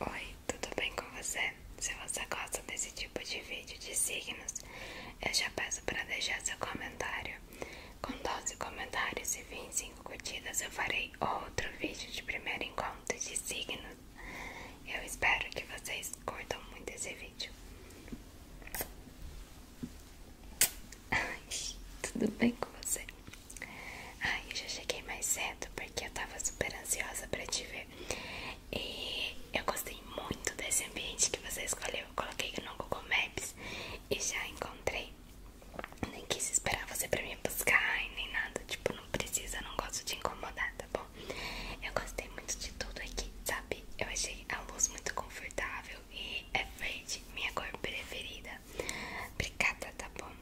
Oi, tudo bem com você? Se você gosta desse tipo de vídeo de signos, eu já peço para deixar seu comentário. Com 12 comentários e 25 curtidas, eu farei outro vídeo de primeiro encontro de signos. Eu espero que vocês curtam muito esse vídeo. tudo bem com você? Ai, eu já cheguei mais cedo porque eu tava super ansiosa pra te ver. E eu gostei muito desse ambiente que você escolheu. coloquei no Google Maps e já encontrei. Nem quis esperar você pra me buscar nem nada. Tipo, não precisa, não gosto de incomodar, tá bom? Eu gostei muito de tudo aqui, sabe? Eu achei a luz muito confortável e é verde, minha cor preferida. Obrigada, tá bom?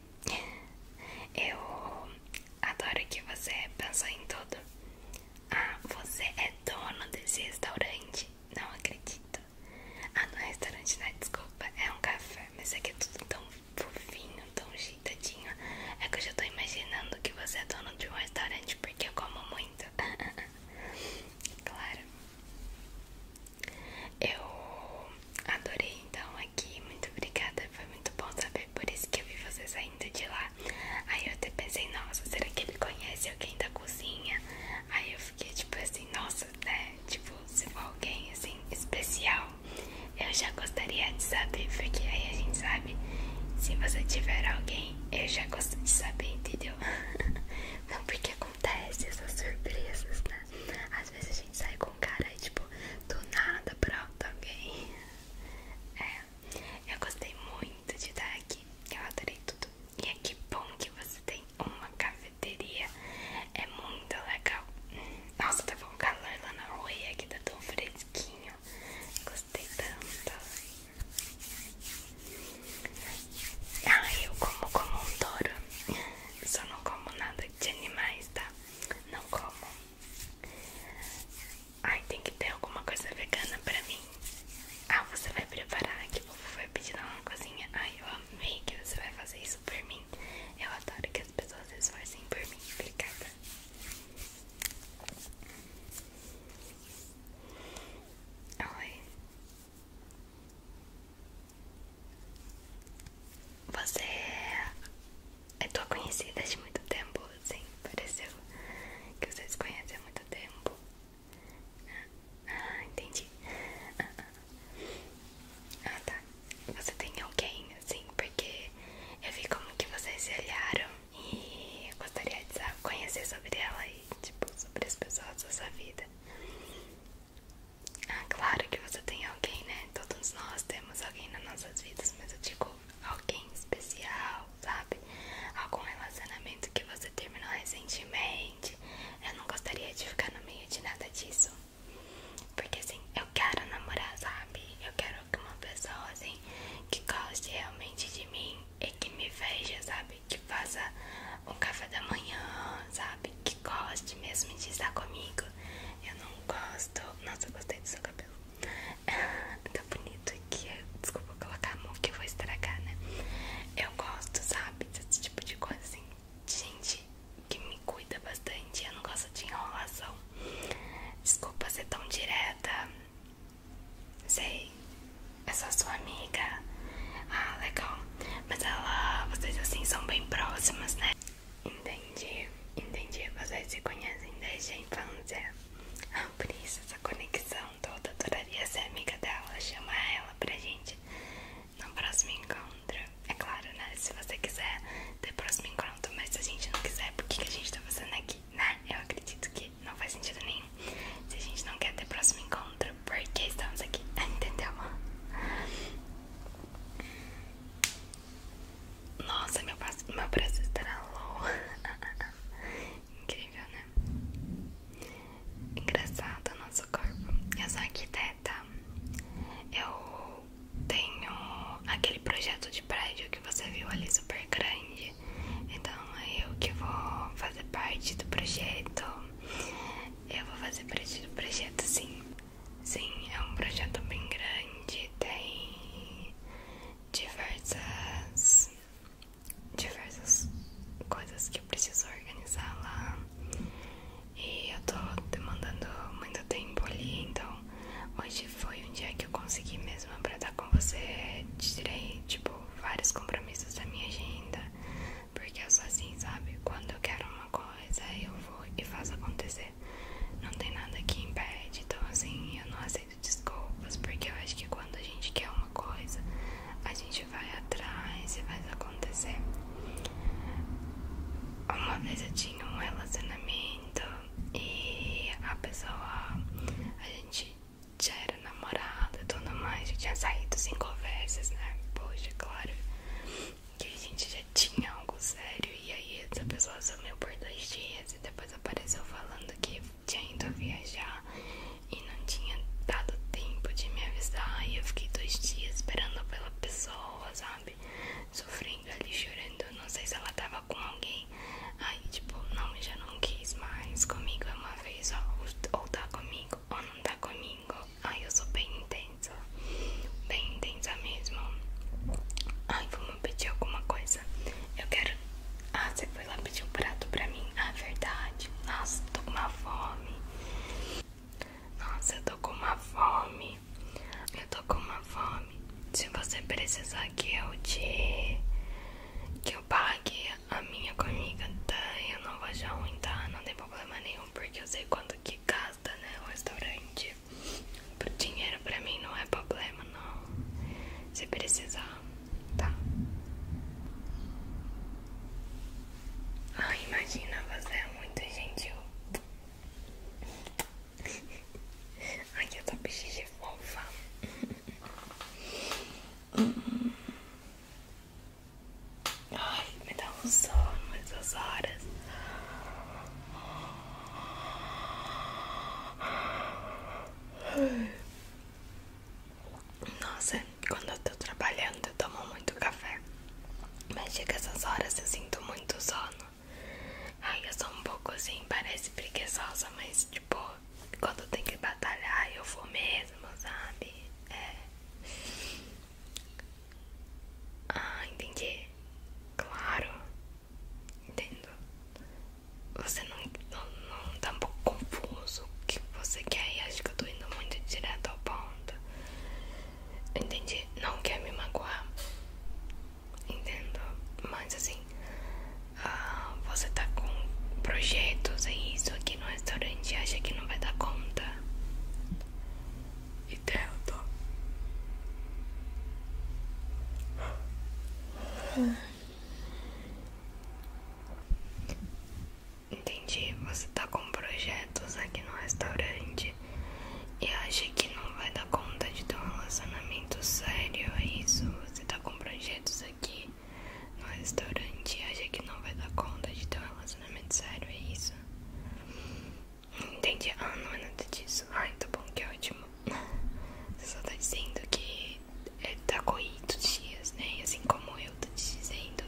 Eu adoro que você pensou em tudo. Ah, você é dono desse restaurante. Não acredito. Ah, não é restaurante, não, né? desculpa. É um café, mas é que é tudo tão fofinho, tão ajeitadinho. É que eu já tô imaginando que você é dono de um restaurante porque eu como muito. claro. Eu adorei então aqui, muito obrigada, foi muito bom saber, por isso que eu vi você saindo de lá. Aí eu até pensei, nossa, será que ele conhece alguém da cozinha? Aí eu fiquei tipo assim, nossa, né? Tipo, se for alguém assim, especial, eu já gostaria de saber, porque aí a gente sabe, se você tiver alguém, eu já gosto de saber, entendeu? Não porque acontece essas surpresas, né? Às vezes a gente sai com com cara tipo do nada pronto, alguém. É, eu gostei muito de estar aqui, eu adorei tudo. E é que bom que você tem uma cafeteria, é muito legal. Nossa, tá com calor lá na rua e aqui tá tão fresquinho. Gostei tanto. Ah, eu como como um touro. Só não como nada de animais, tá? Não como. Ai, tem que ter alguma coisa vegana pra mim. Ah, você vai preparar que vou vovô pedir na cozinha. Ai, eu amei que você vai fazer isso por mim. Eu adoro que as pessoas se esforcem por mim. Obrigada. Oi. Você é tua conhecida de muito tempo, assim, pareceu que vocês conhecem há muito tempo. Ah, entendi. Ah, ah. ah, tá. Você tem alguém, assim, porque eu vi como que vocês se olharam e eu gostaria de saber conhecer sobre ela e, tipo, sobre as pessoas da sua vida. Ah, claro que você tem alguém, né? Todos nós temos alguém nas nossas vidas, mas eu digo alguém especial, sabe? Algum relacionamento que você terminou recentemente. Eu não gostaria de ficar no meio de nada disso. Porque assim, eu quero namorar, sabe? Eu quero que uma pessoa assim que goste realmente de mim e que me veja, sabe? que faça um café da manhã, sabe? Que goste mesmo de estar comigo. Eu não gosto. Nossa, eu gostei do seu cabelo. tá bonito aqui. Desculpa colocar a mão que eu vou estragar, né? Eu gosto, sabe? Desse tipo de coisa assim. Gente que me cuida bastante. Eu não gosto de enrolação. Desculpa ser tão direta. Sei, essa sua amiga? Ah, legal. Mas ela, vocês assim são bem próximas, né? Entendi, entendi. Vocês se conhecem desde a infância. Ah, por isso essa conexão toda. Adoraria ser amiga dela, chamar ela pra gente no próximo encontro. É claro, né? Se você quiser ter próximo encontro, mas se a gente não quiser, por que a gente tá fazendo aqui, né? Eu acredito que não faz sentido nenhum. Se a gente não quer ter próximo encontro, porque estamos aqui, entendeu? Nossa, meu, meu braço estará low. Incrível, né? Engraçado o nosso corpo. Eu sou arquiteta. Eu tenho aquele projeto de prédio que você viu ali super grande. Então é eu que vou fazer parte do projeto. Eu vou fazer parte do projeto sim. Sim, é um projeto bem grande, tem diversas diversas coisas que eu preciso organizar lá. E eu tô demandando muito tempo ali, então hoje foi um dia que eu consegui mesmo pra estar com você. Tirei tipo Tipo, vários compromissos da minha agenda. Porque eu sou assim, sabe? Quando eu quero uma coisa, eu vou e faço acontecer. Não tem nada que impede. Então, assim, eu não aceito desculpas. Porque eu acho que quando a gente quer uma coisa, a gente vai atrás e faz acontecer. Uma vez eu tinha um relacionamento e a pessoa, a gente já era namorada e tudo mais, já tinha saído sem conversas, né? Poxa, claro que a gente já tinha algo sério. E aí essa pessoa sumiu por dois dias e depois apareceu falando que tinha ido viajar e não tinha dado tempo de me avisar. E eu fiquei dois dias esperando pela pessoa, sabe? Sofrendo ali, chorando. Não sei se ela tava com alguém. Aí, tipo, não, já não quis mais. Comigo é uma vez, ó. Ou tá comigo, ou não tá comigo. Aí eu sou bem intensa. Bem intensa mesmo. Ai, vamos pedir alguma coisa. Eu quero. Ah, você foi lá pedir um prato pra mim. Ah, verdade. Nossa, tô com uma fome. Nossa, eu tô com uma fome. Eu tô com uma fome. Se você precisar que eu te que eu pague a minha comida, tá? Eu não vou achar ruim, Não tem problema nenhum, porque eu sei quanto que gasta, né? O restaurante. Pro dinheiro pra mim não é problema, não. Se precisar, tá? Ai, imagina, você é muito gentil. aqui eu tô peixe de fofa. Ai, me dá um sono essas horas. Nossa, quando eu tô trabalhando, eu tomo muito café. Mas chega essas horas, eu sinto muito sono. Ai, eu sou um pouco assim, parece preguiçosa, mas tipo, quando eu tenho que batalhar, eu vou mesmo, sabe? É. Ah, entendi. Claro. Entendo. Você não, não, não tá um pouco confuso o que você quer e acho que eu tô indo muito direto ao ponto. Entendi. Não quer me magoar entendo? Mas assim, ah, você tá com projetos, é isso aqui no restaurante, acha que não vai dar conta? Entendo. Entendi, você tá com projetos aqui no restaurante e acha que não vai dar conta de ter um relacionamento muito sério, é isso? Você tá com projetos aqui no restaurante e acha que não vai dar conta de ter um relacionamento sério, é isso? Entendi. Ah, não é nada disso. Ai, tá bom, que ótimo. Você só tá dizendo que é, tá corrido os dias, né? Assim como eu tô te dizendo.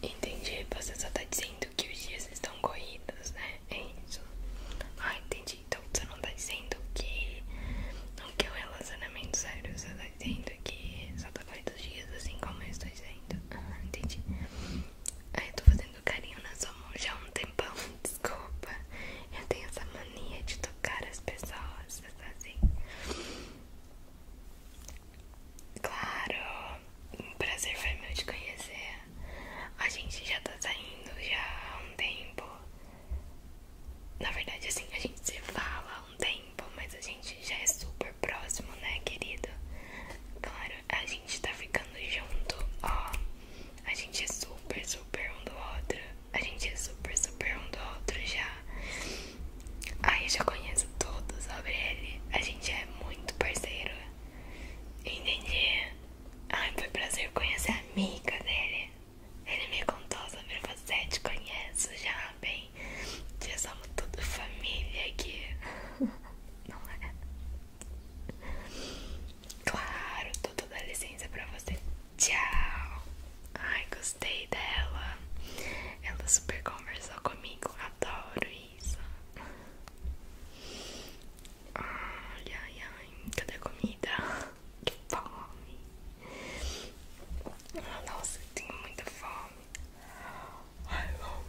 Entendi, você só tá dizendo que os dias estão corridos, né? É isso. Ah, entendi. Então você não tá dizendo que não é um relacionamento sério, você tá dizendo que só tá corrido os dias assim como eu estou dizendo. Ah, entendi. Ah, eu tô fazendo carinho na sua mão já há um tempão, desculpa. Eu tenho essa mania de tocar as pessoas, você tá assim. Claro, um prazer foi meu te conhecer. A gente já tá saindo já há um tempo. Na verdade, assim, a gente se fala há um tempo, mas a gente já é super próximo, né, querido? Claro, a gente tá ficando junto, ó. A gente é super, super um do outro. A gente é super, super um do outro já. Ai, eu já conheço tudo sobre ele. A gente é muito parceiro. Entendi. Ai, foi prazer conhecer a amiga dele. Ele me contou sobre você, te conheço já bem. Já somos tudo família aqui. Não é? Claro, tudo dá licença pra você. Tchau. Ai, gostei dela. Ela super conversou comigo, adoro preguiça. Ai, ai, Cadê a comida? Que fome. Ah, nossa, eu tenho muita fome. Ai, vamos.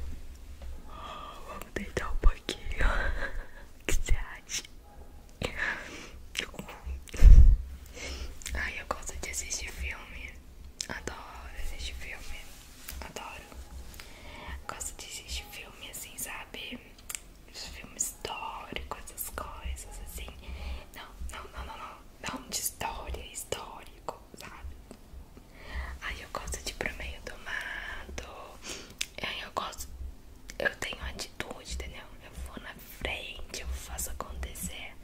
Vamos deitar um pouquinho. O que você acha? Ai, eu gosto de assistir filme. Adoro assistir filme. Adoro. Gosto de assistir filme assim, sabe? filmes históricos essas coisas assim. Não, não, não, não, não. Não de história, histórico, sabe? Aí eu gosto de ir pro meio do mato. Aí eu gosto. Eu tenho atitude, entendeu? Eu vou na frente, eu faço acontecer.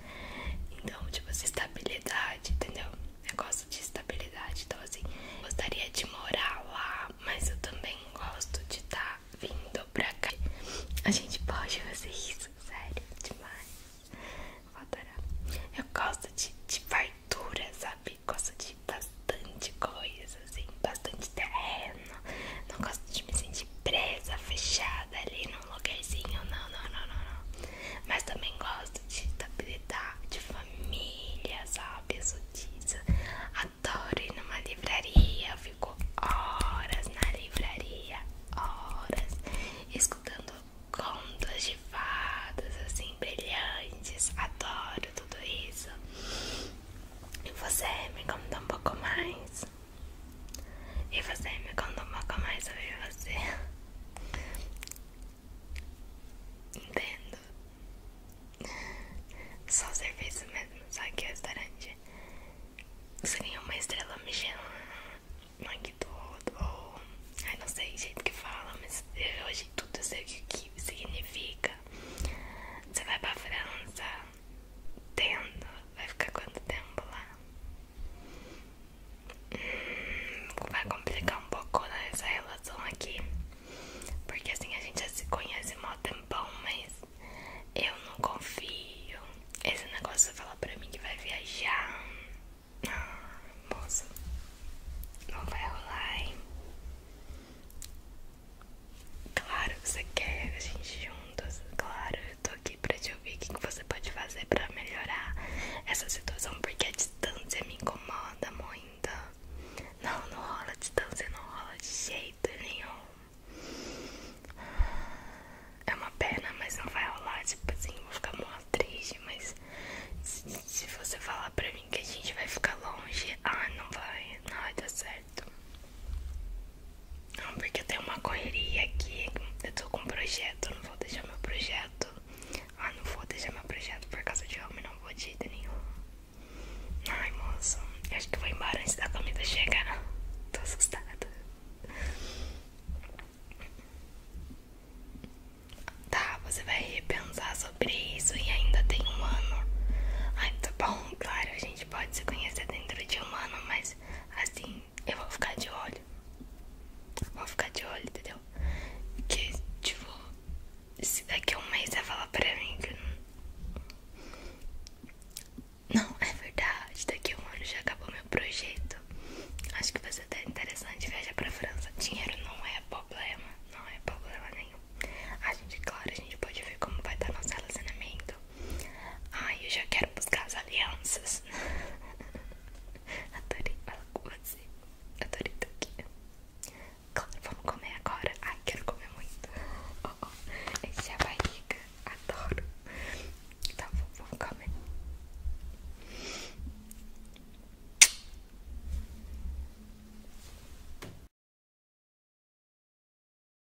Então, tipo, essa estabilidade, entendeu? Eu gosto de estabilidade, então assim, gostaria de morar lá, mas eu também gosto de estar tá vindo pra cá. A gente pode fazer isso, sério, demais. Vou adorar. Eu gosto de, de fartura, sabe? Gosto de bastante coisa, assim, bastante terreno. Não gosto de me sentir presa, fechada sentada ali num lugarzinho. Não, não, não, não, não. Mas também gosto de estabilidade, de família, sabe? Eu disso. Adoro ir numa livraria. Eu fico horas na livraria, horas, escutando contos de fadas, assim, brilhantes. Adoro tudo isso. E você me conta um pouco mais? E você me conta um pouco mais sobre você. Entendo. Só serviço mesmo, só que restaurante. Seria uma estrela Michelin, McDonald's ou. Ai, não sei o jeito que fala, mas eu, hoje tudo eu sei o que, significa. Você vai pra França Entendo. vai ficar quanto tempo lá? Vai complicar um pouco nessa né, relação aqui. Porque assim a gente já se conhece mó tempão, mas eu não confio. Esse negócio você fala pra mim que vai viajar. Ah, moça. Não vai rolar, hein? Claro que você quer a gente juntos, claro eu tô aqui pra te ouvir o que, você pode fazer pra melhorar essa situação, porque a distância me incomoda muito. Não, não rola distância, não rola de jeito nenhum. É uma pena, mas não vai rolar, tipo assim, vou ficar muito triste, mas se, se você falar pra mim que a gente vai ficar longe, ah, não vai, não vai dar certo porque eu tenho uma correria aqui. Eu tô com um projeto, não vou deixar meu projeto. Ah, não vou deixar meu projeto por causa de homem, não vou de jeito nenhum. Ai, moço, acho que vou embora antes da comida chegar. Tô assustada. Tá, você vai repensar sobre isso e ainda tem um ano. Ai, tá bom, claro, a gente pode se conhecer dentro de um ano, mas assim, eu vou ficar de olho. Vou ficar de olho, entendeu? Que, tipo, se daqui a um mês vai falar pra mim que não. Não, é verdade. Daqui a um ano já acabou meu projeto. Acho que vai ser até interessante viajar pra França. Dinheiro não é problema. Não é problema nenhum. A gente, claro, a gente pode ver como vai estar nosso relacionamento muito. Ai, eu já quero buscar as alianças. Adorei falar com você. Adorei tudo. aqui. vamos comer agora. Ai, quero comer muito. Oh, oh. Esse é a barriga. Adoro. Então, vamos comer.